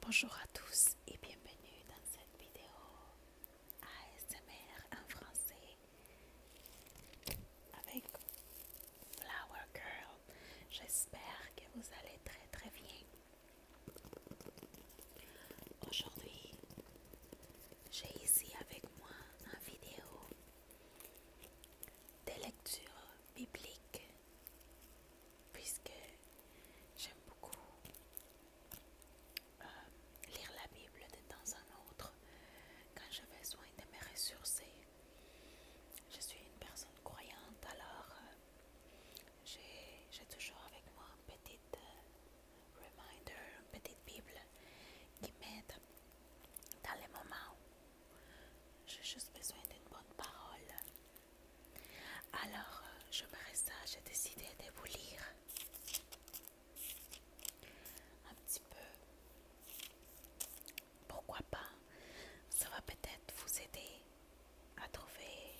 Bonjour à tous et bienvenue dans cette vidéo ASMR en français avec Flower Girl. J'espère que vous allez très très bien. Aujourd'hui, j'ai ici avec moi une vidéo des lectures bibliques puisque j'aime beaucoup euh, lire la Bible de temps en autre quand j'ai besoin de me ressourcer. Je suis une personne croyante, alors euh, j'ai toujours avec moi un petit euh, reminder, une petite Bible qui m'aide dans les moments où j'ai juste besoin d'une bonne parole alors, euh, je me resta, j'ai décidé de vous lire un petit peu. Pourquoi pas Ça va peut-être vous aider à trouver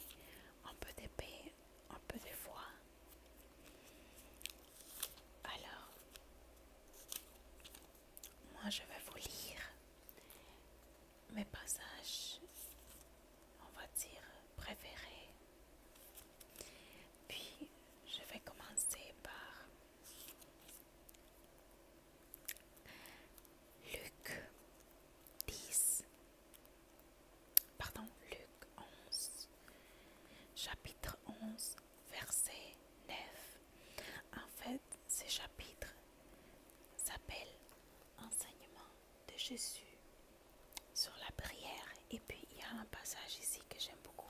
un peu d'épée, un peu de voix, Alors, moi je vais vous lire mes passages, on va dire, préférés. Puis, je vais commencer par Luc 10, pardon, Luc 11, chapitre 11, verset 9. En fait, ce chapitre s'appelle Enseignement de Jésus sur la prière. Et puis, il y a un passage ici que j'aime beaucoup.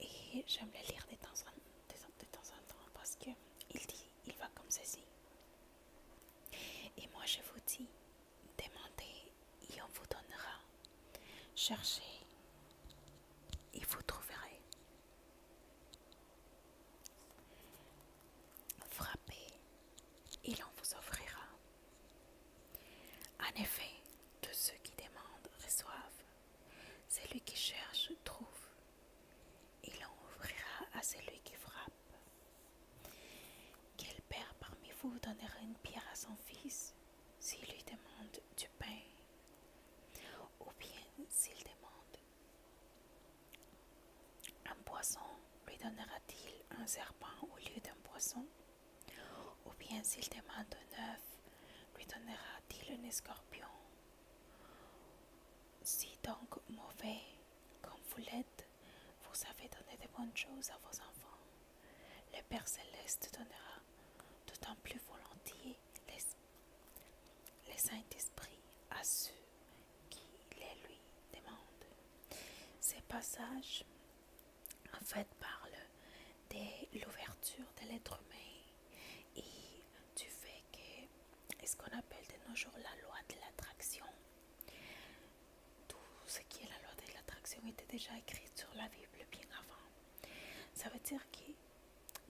Et j'aime le lire de temps, en, temps en temps parce qu'il dit, il va comme ceci. Et moi, je vous dis, demandez et on vous donnera. Cherchez et vous trouverez. Frappez et en vous offrira. En effet, tous ceux qui demandent reçoivent. Celui qui cherche trouve. Et l'on ouvrira à celui qui frappe. Quel père parmi vous donnera une pierre à son fils s'il lui demande du pain Ou bien s'il demande un poisson lui donnera-t-il un serpent au lieu d'un poisson Ou bien s'il demande un œuf, lui donnera-t-il un escorpion Si donc mauvais comme vous l'êtes, vous savez donner de bonnes choses à vos enfants, le Père céleste donnera d'autant plus volontiers l'esprit le Saint-Esprit à ceux qui les lui demandent. Ces passages, en fait, parlent de l'ouverture de l'être humain et du fait que ce qu'on appelle de nos jours la loi de l'attraction, tout ce qui est la loi de l'attraction était déjà écrit sur la Bible bien avant. Ça veut dire que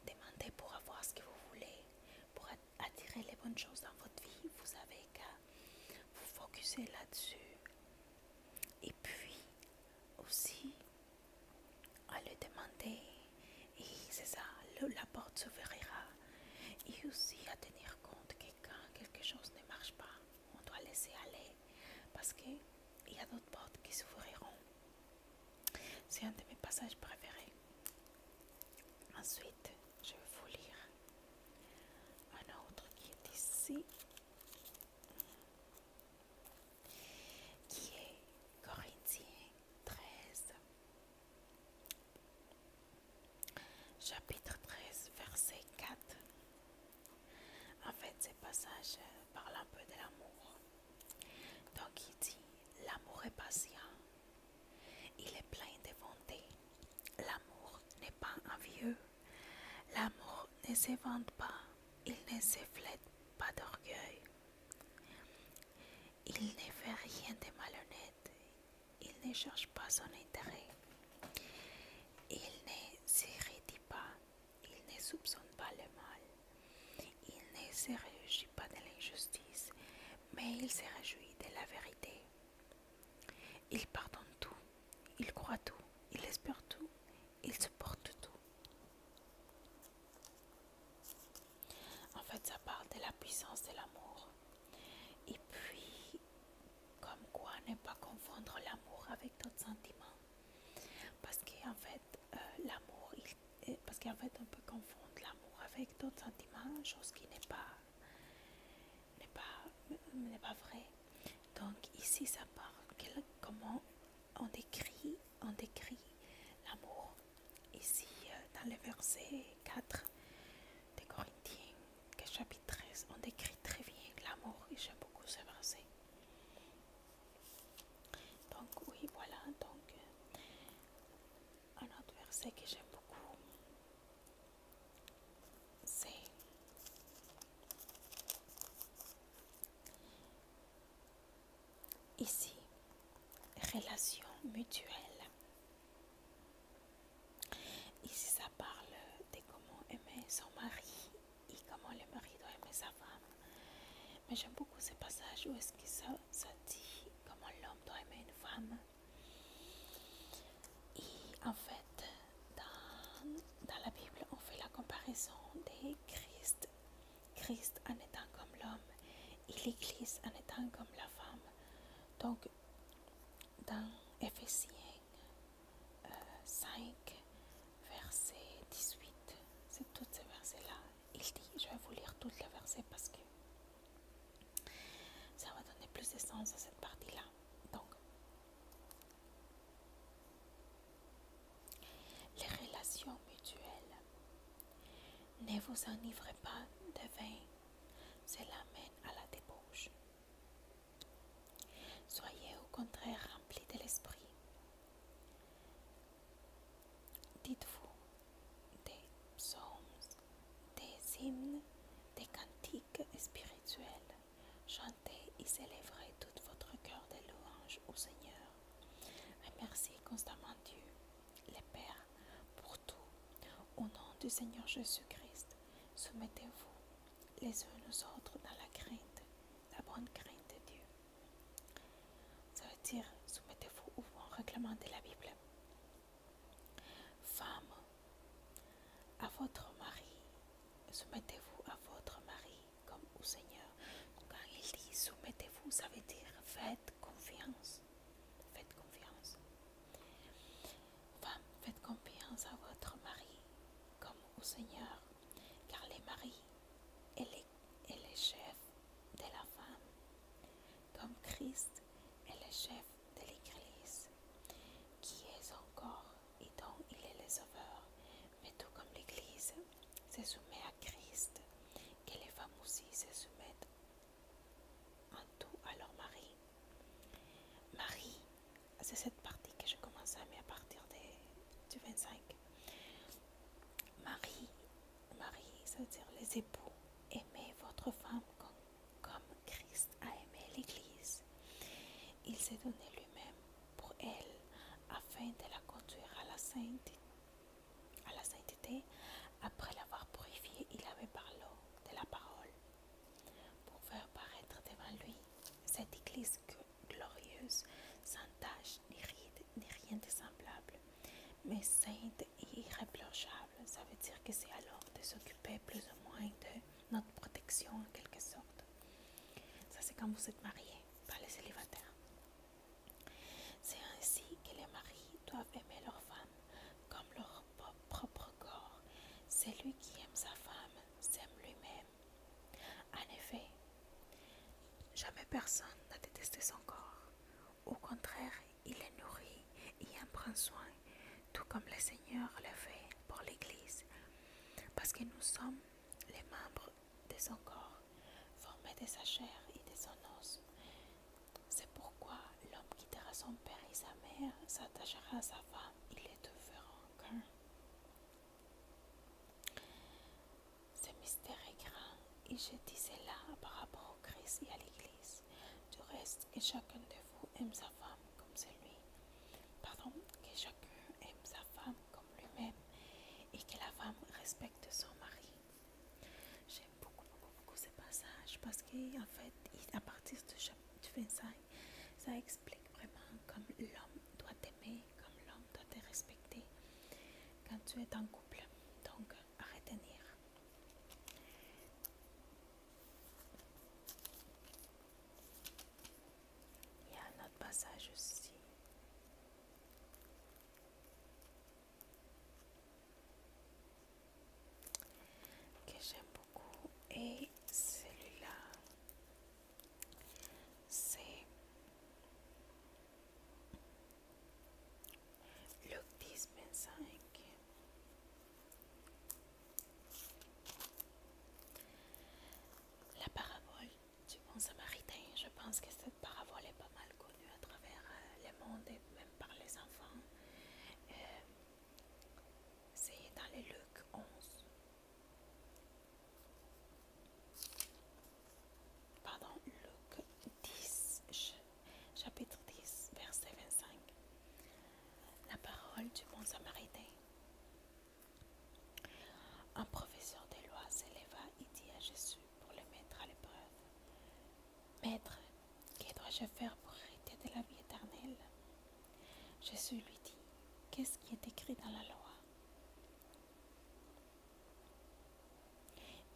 Demandez pour avoir ce que vous voulez, pour attirer les bonnes choses dans votre vie. Vous savez qu'à vous focuser là-dessus. Et puis aussi à le demander. Et c'est ça, la porte s'ouvrira. Et aussi à tenir compte que quand quelque chose ne marche pas, on doit laisser aller. Parce qu'il y a d'autres portes qui s'ouvriront. C'est un de mes passages préférés. Ensuite, je vais vous lire un autre qui est ici, qui est Corinthiens 13, chapitre 13, verset 4. En fait, ce passage parle un peu de l'amour. Donc il dit, l'amour est patient, il est plein de bonté, l'amour n'est pas envieux, l'amour ne se vante pas, il ne se pas d'orgueil, il ne fait rien de malhonnête, il ne cherche pas son intérêt, il ne s'irritie pas, il ne soupçonne pas le mal, il ne se réjouit pas de l'injustice, mais il se réjouit de la vérité. Il pardonne tout, il croit tout, il espère tout, il supporte tout. En fait, ça parle de la puissance de l'amour. Et puis, comme quoi ne pas confondre l'amour avec d'autres sentiments. Parce qu'en fait, euh, l'amour, il parce qu'en fait, on peut confondre l'amour avec d'autres sentiments, chose qui n'est pas, n'est pas, euh, pas vraie. Donc ici, ça parle comment on décrit, on décrit l'amour. Ici, euh, dans le verset 4 des Corinthiens, chapitre 13, on décrit très bien l'amour. Et j'aime beaucoup ce verset. Donc oui, voilà, donc euh, un autre verset que j'aime beaucoup, c'est ici, relation mutuelle. Ici, ça parle de comment aimer son mari et comment le mari doit aimer sa femme. Mais j'aime beaucoup ces passages où est-ce que ça, dit comment l'homme doit aimer une femme. Et en fait, dans, la Bible, on fait la comparaison des Christ, Christ en étant comme l'homme et l'Église en étant comme la femme. Donc, dans Éphésiens 5, euh, verset 18, c'est tous ces versets-là il dit, je vais vous lire tout le verset parce que ça va donner plus de sens à cette partie-là. Donc, les relations mutuelles. Ne vous enivrez pas de vin, cela mène à la débauche. Soyez au contraire remplis de l'esprit Dites-vous des psaumes, des hymnes, des cantiques spirituels. Chantez et célébrez tout votre cœur de louanges au Seigneur. Remerciez constamment Dieu, les pères, pour tout. Au nom du Seigneur Jésus-Christ, soumettez-vous les uns aux autres dans la crainte, la bonne crainte de Dieu. Ça veut dire soumettez-vous ou vous la Bible. Femme, à votre mari, soumettez-vous à votre mari comme au Seigneur. Quand il dit soumettez-vous, ça veut dire faites confiance. Faites confiance. Femme, faites confiance à votre mari comme au Seigneur, car les maris et les et est le chef de la femme, comme Christ est le chef de l'Église, qui est encore, et dont il est le sauveur. Mais tout comme l'Église se soumet à Christ, que les femmes aussi se soumettent en tout à leur mari. Marie, c'est cette partie que je commence à mettre à partir du 25. Marie Marie, c'est-à-dire les époux, aimez votre femme comme, Christ a aimé l'Église. Il s'est donné lui-même pour elle afin de la conduire à la sainteté. après l'avoir purifiée, il avait parlé de la parole pour faire paraître devant lui cette Église glorieuse sans tache ni rien, de semblable, mais sainte et irréprochable. Ça veut dire que c'est alors de s'occuper plus ou moins de notre protection en quelque sorte. Ça, c'est quand vous êtes marié, par les célibataires. C'est ainsi que les maris doivent aimer leur femme comme leur propre corps. Celui qui aime sa femme s'aime lui-même. En effet, Jamais personne n'a détesté son corps. Au contraire, il est nourri et en prend soin, tout comme le Seigneur le fait pour l'Église, parce que nous sommes les membres de son corps, formés de sa chair et de son os. C'est pourquoi l'homme qui quittera son père et sa mère, s'attachera à sa femme, il les deux feront qu'un. Ce mystère est grand et je dis cela par rapport au Christ et à l'Église. Du reste, que chacun de vous aime sa femme comme celui. Pardon, que chacun aime sa femme comme lui-même et que la femme respecte son mari. J'aime beaucoup, beaucoup, beaucoup ce passage parce qu'en fait, à partir du chapitre 25, ça explique vraiment comme l'homme doit être mais comme l'homme doit te respecter quand tu es en couple. Donc, à retenir. Il y a un autre passage aussi. que j'aime beaucoup et celui-là c'est 10, 25 La parabole du bon samaritain, je pense que cette parabole est pas mal connue à travers euh, le monde et même par les enfants. Euh, c'est dans les Luc 11. Pardon, Luc 10, chapitre 10, verset 25. La parole du bon samaritain. Un professeur des lois s'éleva et dit à Jésus pour le mettre à l'épreuve. Maître, que dois-je faire pour hériter de la vie éternelle Jésus lui dit, qu'est-ce qui est écrit dans la loi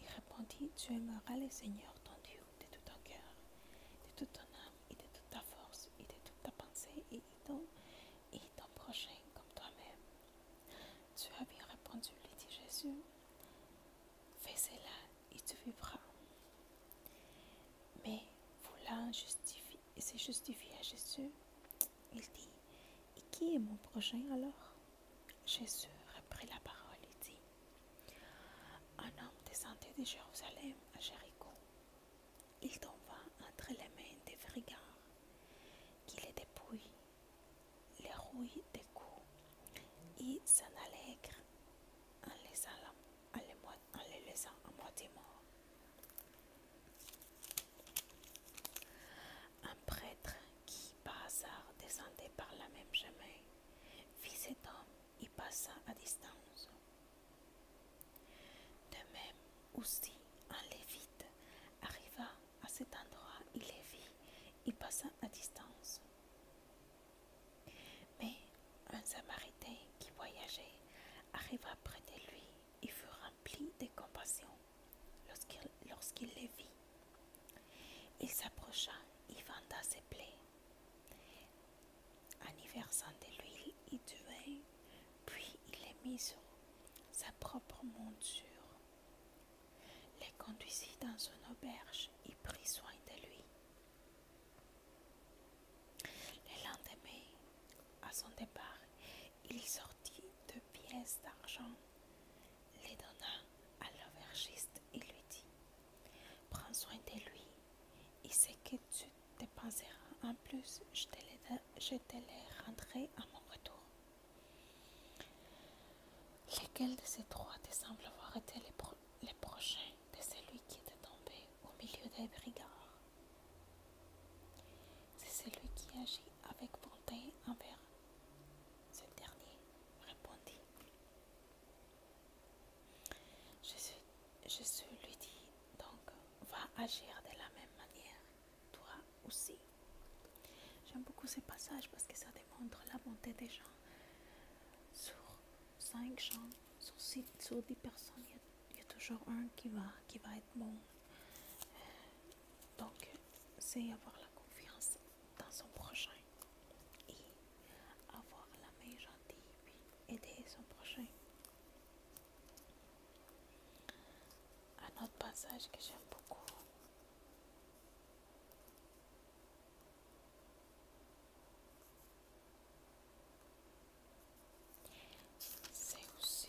il répondit, tu aimeras le Seigneur ton Dieu de tout ton cœur, de toute ton âme et de toute ta force et de toute ta pensée et ton, ton prochain comme toi-même. Tu as bien répondu, lui dit Jésus. Fais cela et tu vivras. Mais voilà, justifie se justifier à Jésus, il dit, et qui est mon prochain alors Jésus reprit la parole et dit Un homme descendait de Jérusalem à Jéricho. Il tomba entre les mains des brigands qui les dépouillent, les rouillent des coups et s'en allègre en les, en les laissant à moitié morts. Un prêtre qui, par hasard, descendait par la même chemin, vit cet homme et passa à distance. De même, aussi, un lévite arriva à cet endroit, il les vit et passa à distance. Mais un samaritain qui voyageait arriva près de lui et fut rempli de compassion. Lorsqu'il les vit, il s'approcha et venda ses plaies. En de l'huile il tuait, puis il les mit sur sa propre monture, les conduisit dans une auberge et prit soin de lui. Le lendemain, à son départ, il sortit deux pièces d'argent, les donna à l'aubergiste et lui dit Prends soin de lui, et ce que tu dépenseras en plus, je te les, rendrai à mon retour. lesquels de ces trois te semble avoir été les prochains de celui qui était tombé au milieu des brigands. C'est celui qui agit avec bonté envers ce dernier, répondit. je suis lui dit donc, va agir de la même manière, toi aussi. J'aime beaucoup ce passage parce que ça démontre la bonté des gens. Sur cinq gens, sur, six, sur dix personnes, il y, a, toujours un qui va être bon. Euh, donc, c'est avoir la confiance dans son prochain et avoir la main gentille puis aider son prochain. Un autre passage que j'aime beaucoup. C'est aussi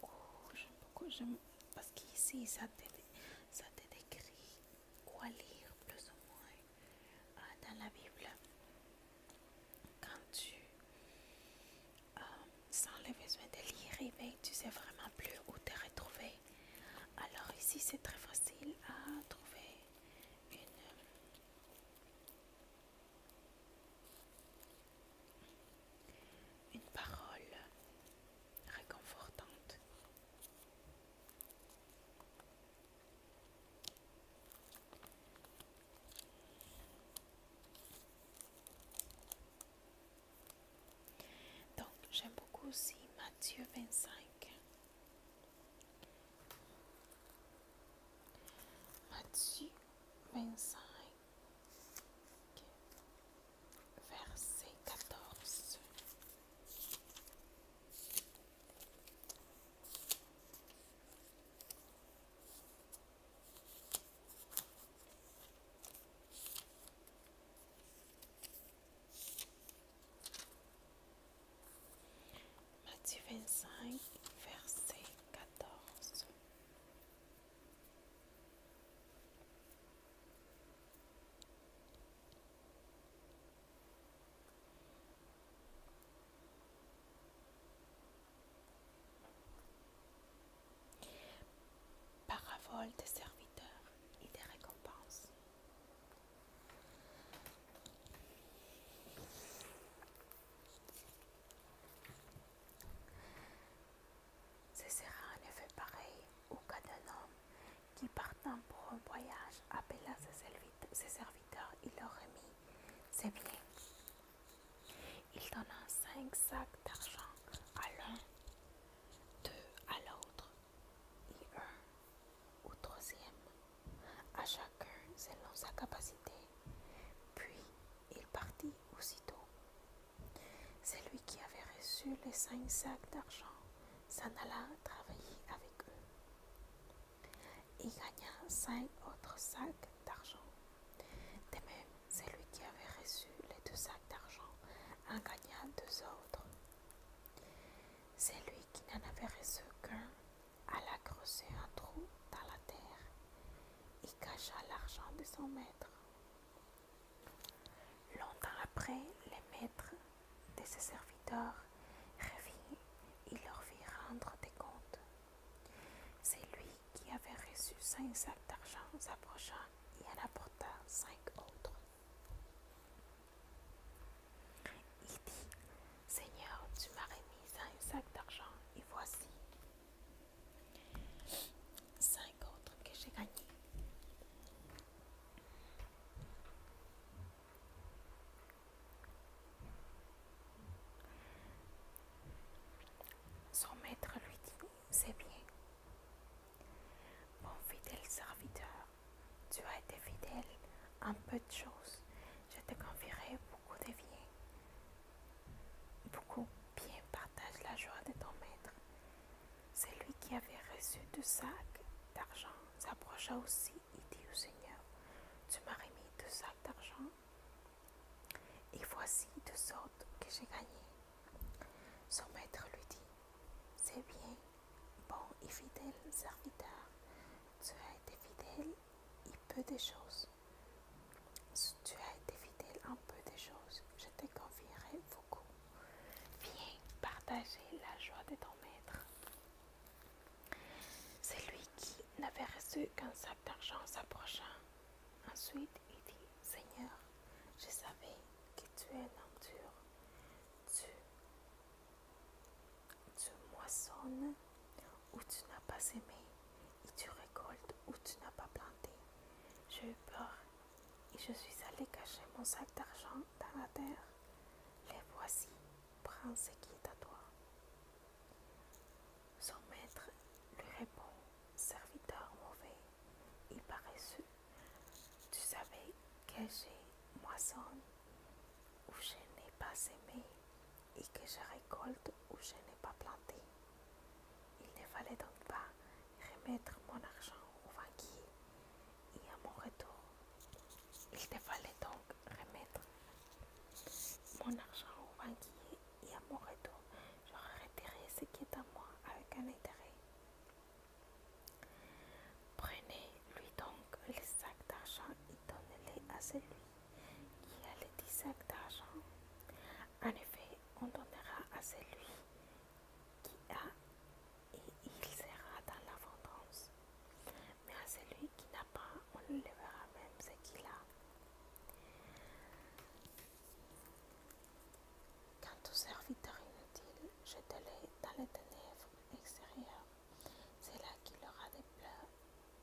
beaucoup, j'aime beaucoup, j'aime parce qu'ici ça te, ça te décrit quoi lire plus ou moins euh, dans la Bible. Quand tu euh, sens le besoin de lire, et eh tu sais vraiment plus où te retrouver. Alors ici c'est très facile à trouver une une parole réconfortante. Donc, j'aime beaucoup aussi Matthieu 25. Matthieu 25 verset 14. Matthieu 25, verset 14. Parabole des serviteurs et des récompenses. Ce sera un effet pareil au cas d'un homme qui, partant pour un voyage, appela ses serviteurs et leur remit ses biens. Il donna cinq sacs d'argent à l'un, deux à l'autre et un au troisième, à chacun selon sa capacité. Puis il partit aussitôt celui qui avait reçu les cinq sacs d'argent s'en alla travailler avec eux. Il gagna cinq autres sacs d'argent. De même, celui qui avait reçu les deux sacs d'argent en gagna deux autres. Celui qui n'en avait reçu qu'un alla creuser un trou dans la terre et cacha l'argent de son maître. Longtemps après, les maîtres de ses serviteurs revinrent et leur fit rendre des comptes. C'est lui qui avait reçu cinq sacs d'argent s'approcha et en apporta cinq autres. Il dit, Seigneur, tu m'as remis cinq sacs d'argent et voici, Cinq autres que j'ai gagné. Son maître lui dit, c'est bien. Mon fidèle serviteur, tu as été fidèle en peu de choses, je te confierai beaucoup de biens beaucoup bien partage la joie de ton maître. Celui qui avait reçu deux sacs d'argent s'approcha aussi et dit au Seigneur, Tu m'as remis deux sacs d'argent, et voici deux sortes que j'ai gagné. Son maître lui dit, C'est bien, bon et fidèle serviteur, tu as été fidèle et peu de choses. « Si tu as été fidèle un peu des choses, je te confierai beaucoup. Viens partager la joie de ton maître. C'est lui qui n'avait reçu qu'un sac d'argent s'approchant. Ensuite, il dit, Seigneur, je savais que tu es un homme dur. Tu, tu moissonnes ou tu n'as pas aimé et tu récoltes où tu n'as pas planté. J'ai eu peur et je suis allé cacher mon sac d'argent dans la terre. Les voici, prends ce qui est à toi. Son maître lui répond, serviteur mauvais et paresseux, tu savais que j'ai moissonne où je n'ai pas aimé et que je récolte où je n'ai pas planté. Il ne fallait donc pas remettre mon argent au banquier et à mon retour, il ne fallait donc remettre mon argent au banquier et à mon retour, je retiré ce qui est à moi avec un intérêt. Prenez-lui donc les sacs d'argent et donnez les à celui qui a les dix sacs d'argent. En effet, on donnera à celui qui a et il sera dans l'abondance. Mais à celui qui n'a pas, on le verra même ce qu'il a. Quand au serviteur inutile, je te dans les ténèbres extérieures. C'est là qu'il aura des pleurs,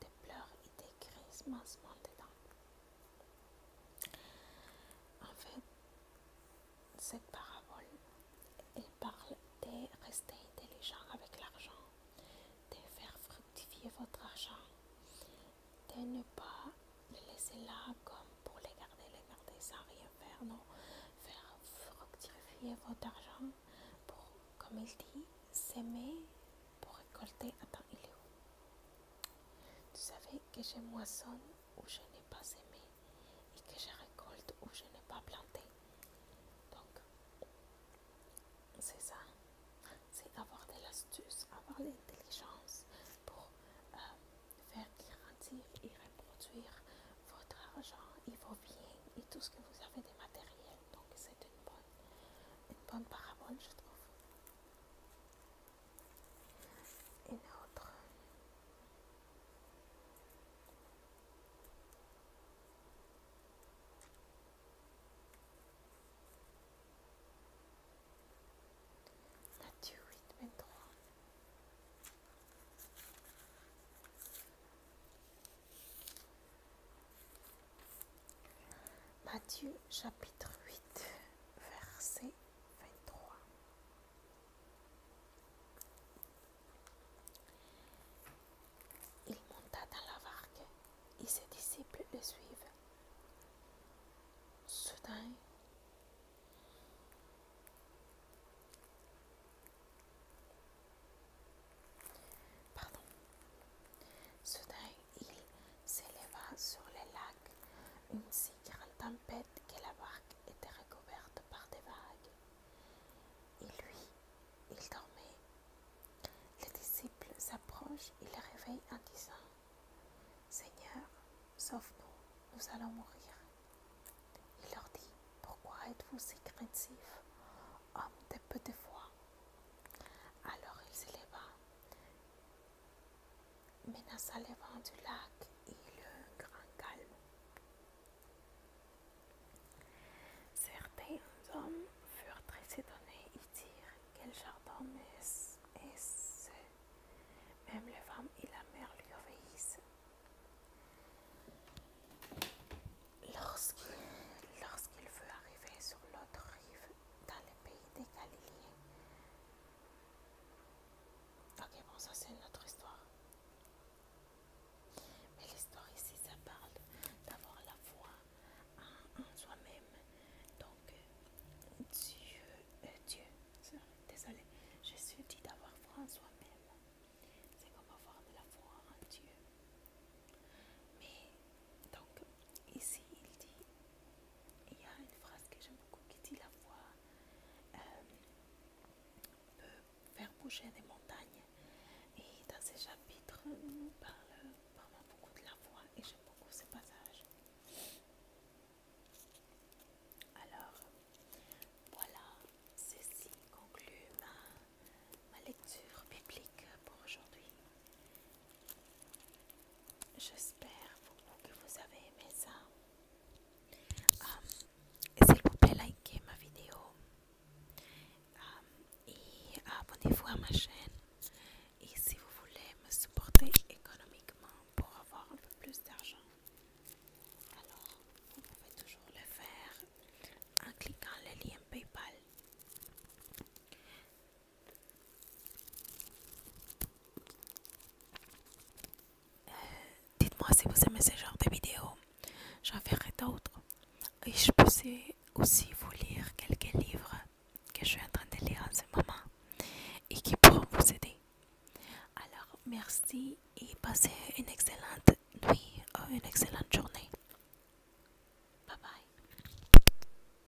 des pleurs et des grisements dedans. En fait, cette parabole, elle parle de rester intelligent avec l'argent, de faire fructifier votre argent, de ne pas le laisser là comme pour les garder, les garder sans rien faire, non, faire fructifier votre argent pour, comme il dit, s'aimer pour récolter. temps il est où tu savez que je moissonne où je n'ai pas aimé et que je récolte où je n'ai pas planté. Donc, c'est ça. C'est avoir de l'astuce, avoir l'intelligence pour euh, faire grandir et reproduire votre argent et vos biens et tout ce que vous avez de matériel. Donc, c'est une bonne, une bonne parabole, je trouve une autre. Matthieu 8 23. Matthieu chapitre 8 verset 23. Il monta dans la barque et ses disciples le suivent. Soudain, Soudain, il s'éleva sur les lacs, une si grande tempête que la barque était recouverte par des vagues. Et lui, il dormait. Les disciples s'approchent et le réveillent en disant Seigneur, sauve-nous, nous allons mourir. Il leur dit Pourquoi êtes-vous si craintifs, hommes de peu de foi Alors il s'éleva menaça les vents du lac, et le grand calme. Certains hommes furent très étonnés et dirent Quel jardin est-ce Même les femmes et la mère lui obéissent. Lorsqu'il veut arriver sur l'autre rive, dans le pays des Galiléens, Ok, bon, ça c'est une autre histoire. Mais l'histoire ici, ça parle d'avoir la foi en, soi-même. Donc, Dieu, euh, Dieu, désolé, je suis dit d'avoir foi en soi-même. C'est comme avoir de la foi en Dieu. Mais, donc, Ici, il dit, il y a une phrase que j'aime beaucoup qui dit la voix euh, peut faire bouger des montagnes. Et dans ce chapitre, euh, nous parle vraiment beaucoup de la voix et j'aime beaucoup ce passage. Alors, voilà, ceci conclut ma lecture biblique pour aujourd'hui. J'espère que vous avez aimé ça. Um, s'il vous plaît, likez ma vidéo um, et abonnez-vous à ma chaîne. Et si vous voulez me supporter économiquement pour avoir un peu plus d'argent, alors vous pouvez toujours le faire en cliquant le lien PayPal. Euh, dites-moi si vous aimez ce genre de vidéos. J'en ferai d'autres. Et je peux aussi vous lire quelques livres que je suis en train de lire en ce moment et qui pourront vous aider. Alors, merci et passez une excellente nuit ou euh, une excellente journée. Bye bye.